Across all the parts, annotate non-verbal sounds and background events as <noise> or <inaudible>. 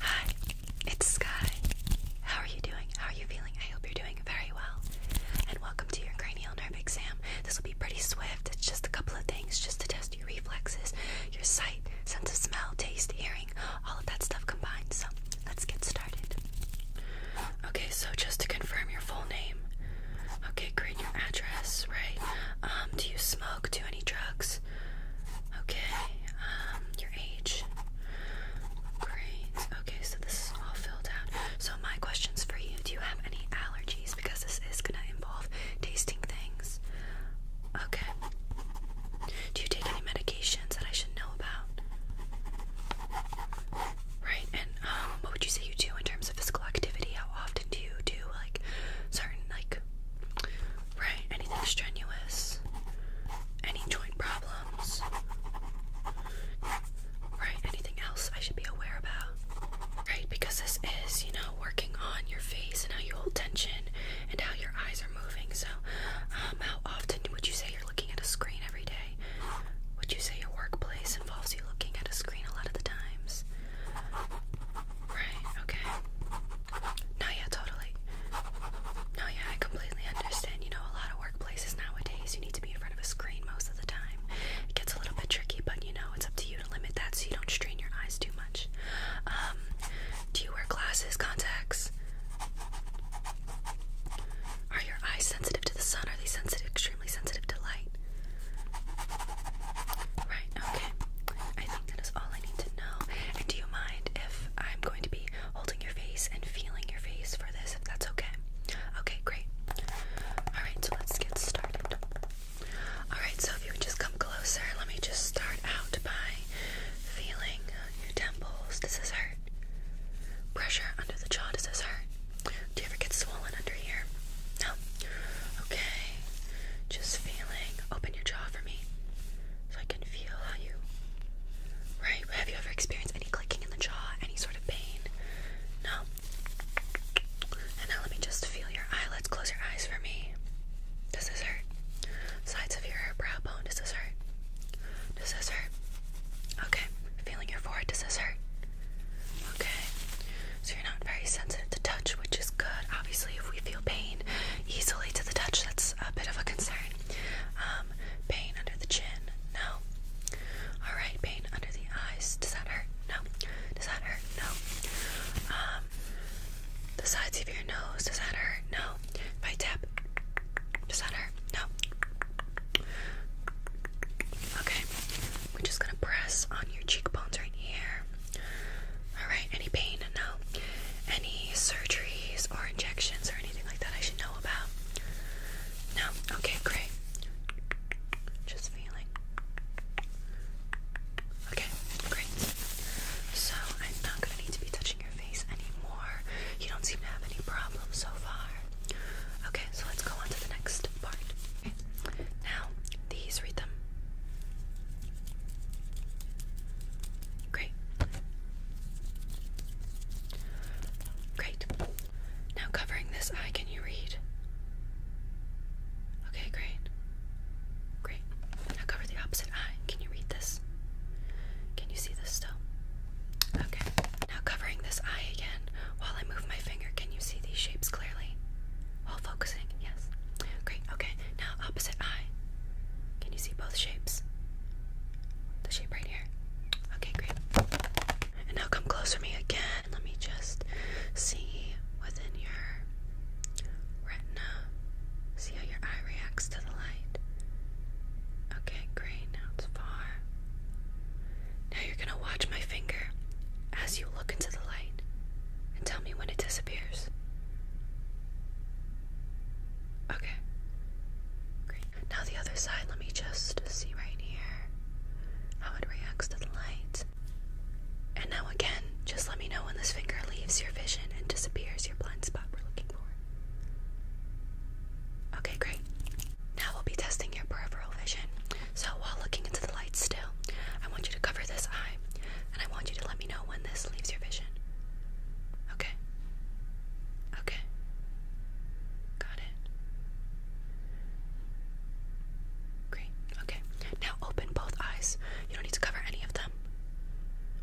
Hi, it's Sky. How are you doing? How are you feeling? I hope you're doing very well. And welcome to your cranial nerve exam. This will be pretty swift. It's just a couple of things just to test your reflexes, your sight, sense of smell, taste, hearing, all of that stuff combined. So let's get started. Okay, so just to confirm your full name. Okay, great. Your address, right? Um, do you smoke? Do any drugs? Okay, um, your age. Great. Okay, so this is all filled out. So my question's for you. Do you have any allergies? Because this is gonna involve tasting things. Okay. Do you take any medications that I should know about? Right, and um, what would you say you do in terms of physical activity? How often do you do like certain like Right, anything strenuous? Any joint problems? Right, anything else I should be aware about? Right, because this is, you know, working on your face and how you hold tension and how your eyes are moving. So, um, how often would you say you're looking at a screen every day? Would you say your workplace involves you looking at a screen a lot of the times? Right, okay. No, yeah, totally. No, yeah, I completely understand. You know, a lot of workplaces nowadays, you need to be in front of a screen most of the time. It gets a little bit tricky, but you know, it's up to you to limit that so you don't strain your eyes too much. Um, do you wear glasses, contacts? Are your eyes sensitive to the sun? Are they sensitive, extremely sensitive to light? Right, okay. I think that is all I need to know. And do you mind if I'm going to be holding your face and feeling your face for this, if that's okay? Okay, great. Alright, so let's get started. Alright, so if you would just come closer, let me just start out by feeling your temples. Does this hurt? Pressure under the jaw, does this hurt? Do you ever get swollen under here? No? Okay, just feeling. Open your jaw for me so I can feel how you. Right? Have you ever experienced any clicking in the jaw? Any sort of pain? No? And now let me just feel your eyelids. Close your eyes for me. Does this hurt? Sides of your brow bone. Does this hurt? Does this hurt? Okay. Feeling your forehead. Does this hurt? Okay so you're not very sensitive to touch, which is good. Obviously, if we feel pain easily to the touch, that's a bit of a concern. Um, pain under the chin? No. All right, pain under the eyes. Does that hurt? No. Does that hurt? No. Um, the sides of your nose. Does that hurt? No. If tap, does that hurt? No. Okay. We're just gonna press on your cheekbones right here. Alright, any pain? No. Any surgeries or injections or anything like that I should know about? No? Okay, great. Just feeling. Okay, great. So, I'm not going to need to be touching your face anymore. You don't seem to have any problems so far. Okay, so let's go on to the next part. Now, these read them. Great. Great. Now, covering this eye, can you read? Okay, great. Great. Now, cover the opposite eye. Can you read this? Can you see this still? Okay. Now, covering this eye again, while I move my finger, can you see these shapes clearly? All focusing, yes. Great, okay. Now, opposite eye. Can you see both shapes? The shape right here. Okay, great. And now come closer to me again. Let me just see within your retina. See how your eye reacts to the light. Okay, great. Now it's far. Now you're gonna watch my finger as you look into the light and tell me when it disappears. Okay. Great. Now the other side, let me just see right here how it reacts to the light. And now again, just let me know when this finger leaves your vision and disappears your blind spot we're looking for. Okay, great. Now we'll be testing your peripheral vision. So while looking into the light still, I want you to cover this eye and I want you to let me know when this leaves your vision. Okay. Okay. Got it. Great. Okay. Now open both eyes. You don't need to cover any of them.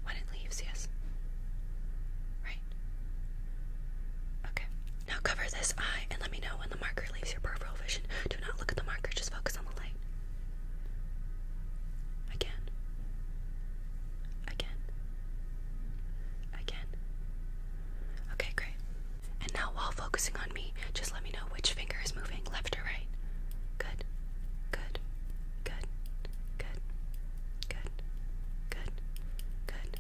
When it leaves, yes. Right. Okay. Now cover this eye and let me know when the marker leaves your peripheral vision. Do not look at the marker, just focus on the light. Again. Again. Again. Okay, great. And now while focusing on me, just let me know which finger is moving, left or right. Good. Good. Good. Good. Good. Good. Good.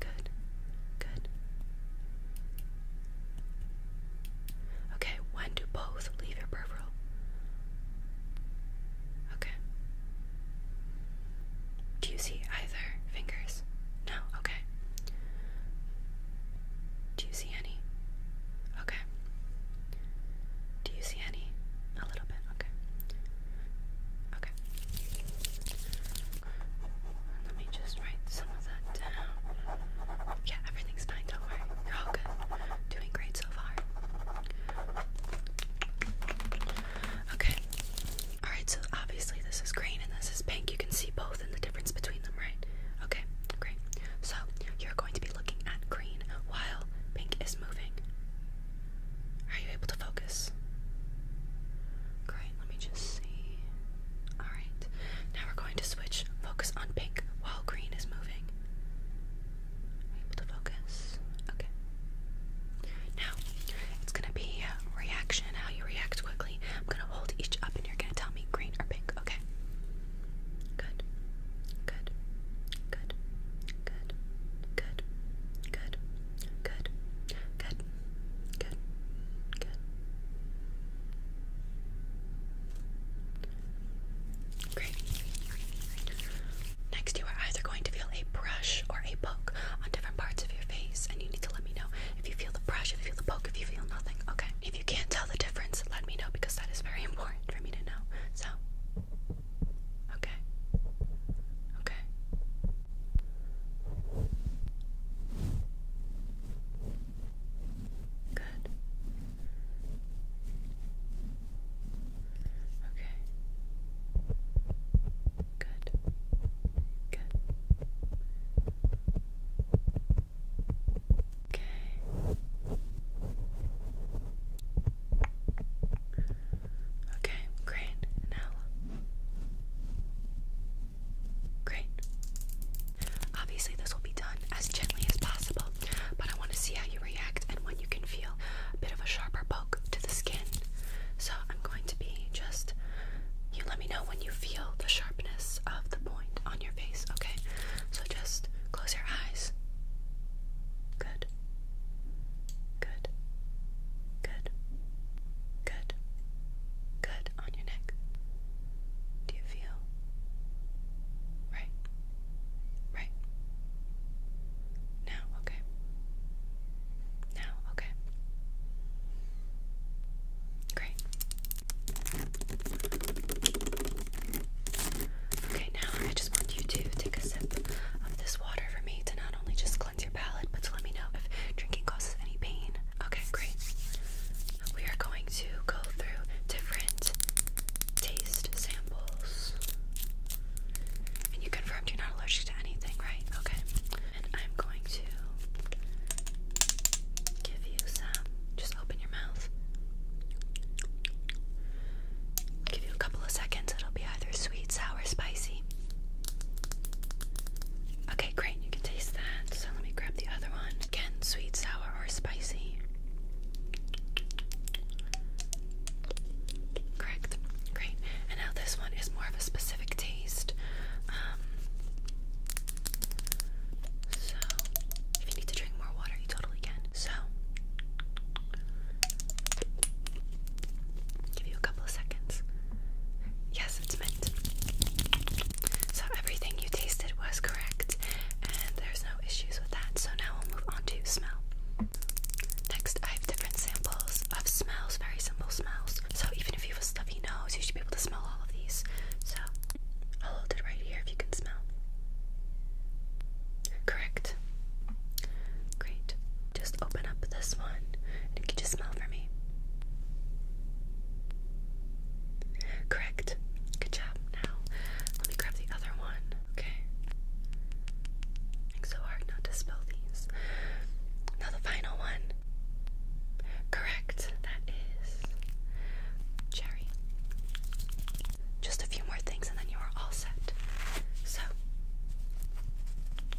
Good. Good. Okay, when do both leave your peripheral? Okay. Do you see either fingers? No, okay. Do you see any? Okay. Do you see any? A little bit, okay. Okay. Let me just write some of that down. Yeah, everything's fine, don't worry. You're all good. Doing great so far. Okay. Alright, so obviously this is green and this is pink. You can see both and the difference between them, right? Okay, great. So you're going to be looking at green while pink is moving. Are you able to focus? Great let me just see. Alright, now we're going to switch focus on pink while green is moving. able to focus? Okay. Now, it's gonna be reaction, how you react quickly. I'm gonna hold each up and you're gonna tell me green or pink, okay? Good. Good. Good. Good. Good. Good. Good. Good. Good. Good. Great. Next, you are either going to feel a brush or a poke on different parts of your face, and you need to let me know if you feel the brush, if you feel the poke, if you feel nothing. Okay. If you can't tell the difference, let me know because that is very <laughs> important for me to know. So, okay. Okay. Good. Okay. Good. Good. Okay. Okay, great. Now, great. Obviously, this will be done as gently as possible, but I want to see how you react and when you can feel a bit of a sharper poke to the skin. So, I'm going to be just you let me know when you feel the sharpness of the point on your face, okay? So, just close your eyes. Good. Good. Good. Good. Good on your neck. Do you feel? Right. Right. Now, okay. Now, okay. Great. Okay, now I just want you to take a sip of this water for me to not only just does your palate, but to let me know if drinking causes any pain. Okay, great. We are going to go through different taste samples. And you confirmed you're not allergic to anything, right? Okay. And I'm going to give you some. Just open your mouth. give you a couple of seconds. It'll be either sweet sweet, sour, spicy. Okay, great. You can taste that. So let me grab the other one. Again, sweet, sour, or spicy. Correct. Great. And now this one is more of a specific taste. Um, so if you need to drink more water, you totally can. So Give you a couple of seconds. Yes, it's mint. So everything you tasted was correct, and there's no issues with that. So now we'll move on to smell. Next, I have different samples of smells, very simple smells. So even if you have a stuffy nose, you should be able to smell all of these. So I'll hold it right here if you can smell. Correct. Great. Just open up this one and you can just smell for me. Correct. Good job. Now, let me grab the other one. Okay. so hard not to spill these. Now, the final one. Correct. That is cherry. Just a few more and then you are all set. So,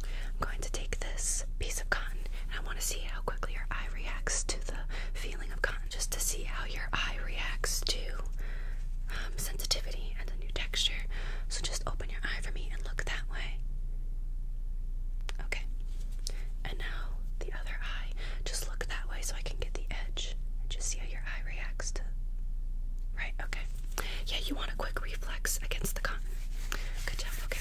I'm going to take this piece of cotton and I want to see how quickly your eye reacts to the feeling of cotton, just to see how your eye reacts to um, sensitivity and the new texture. So, just open your eye for me and look that way. Okay. And now the other eye. Just look that way so I can get the edge and just see how your eye reacts to. Right, okay. Yeah, you want a quick reflex against the cotton. Good job, okay.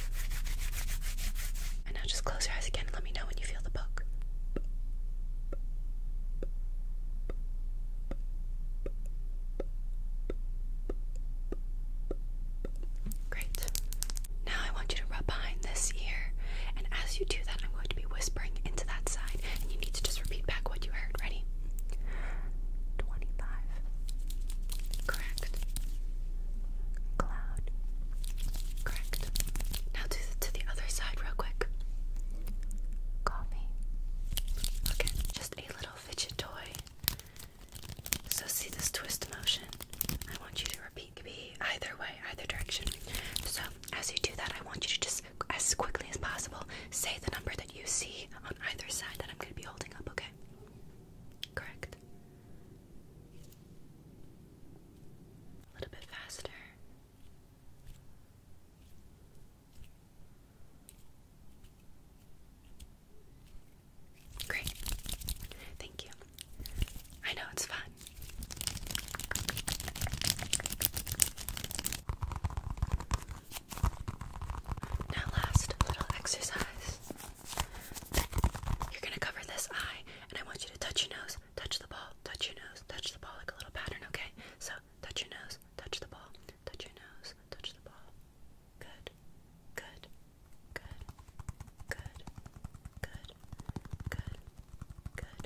And now just close your eyes again let me know when you feel the poke. Great. Now I want you to rub behind this ear, and as you do that, I'm going to be whispering into that side, and you need to just repeat back what you heard. Ready? Twenty-five. Correct. Cloud. Correct. Now do to the other side real quick. Coffee. Okay, just a little fidget toy. So see this twist motion. I want you to repeat. It either way, either direction. So as you do that, I want you to just as quickly as possible. Say the number that you see on either side that I'm going to be holding up, okay? Correct. A little bit faster. Great. Thank you. I know it's fun. Now, last little exercise. You're gonna cover this eye, and I want you to touch your nose, touch the ball, touch your nose, touch the ball like a little pattern, okay? So, touch your nose, touch the ball, touch your nose, touch the ball. Good, good, good, good, good, good, good,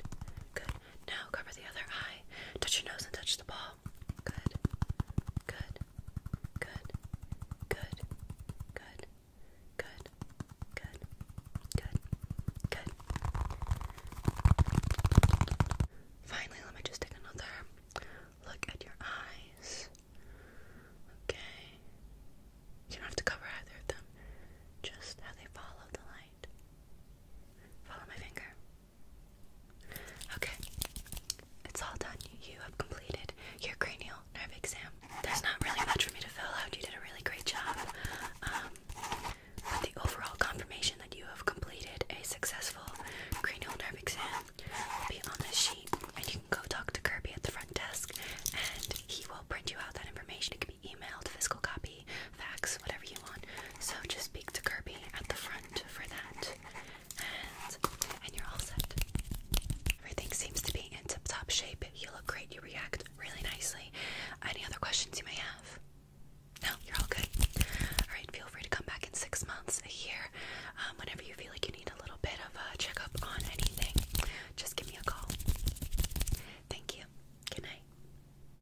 good. Now, cover the other eye, touch your nose, and touch the ball. Good. Good. Good. Good. Good. Good. Good. Good. Good. Finally, let me just take another look at your eyes. Okay. You don't have to cover either of them. Just how they follow the light. Follow my finger. Okay, it's all done. You have completed your cranial nerve exam. There's not really much for me to fill out. You did a really great job. with um, the overall confirmation that you have completed a successful cranial nerve exam will be on this sheet, and you can go talk to Kirby at the front desk, and he will print you out that information. It can be emailed, physical copy, Kirby, whatever you want. So just speak to Kirby at the front for that. And you're all set. Everything seems to be in tip-top shape. You look great. You react really nicely. Any other questions you may have? No, you're all good. All right, feel free to come back in six months, a year, um, whenever you feel like you need a little bit of a checkup on anything. Just give me a call. Thank you. Good night.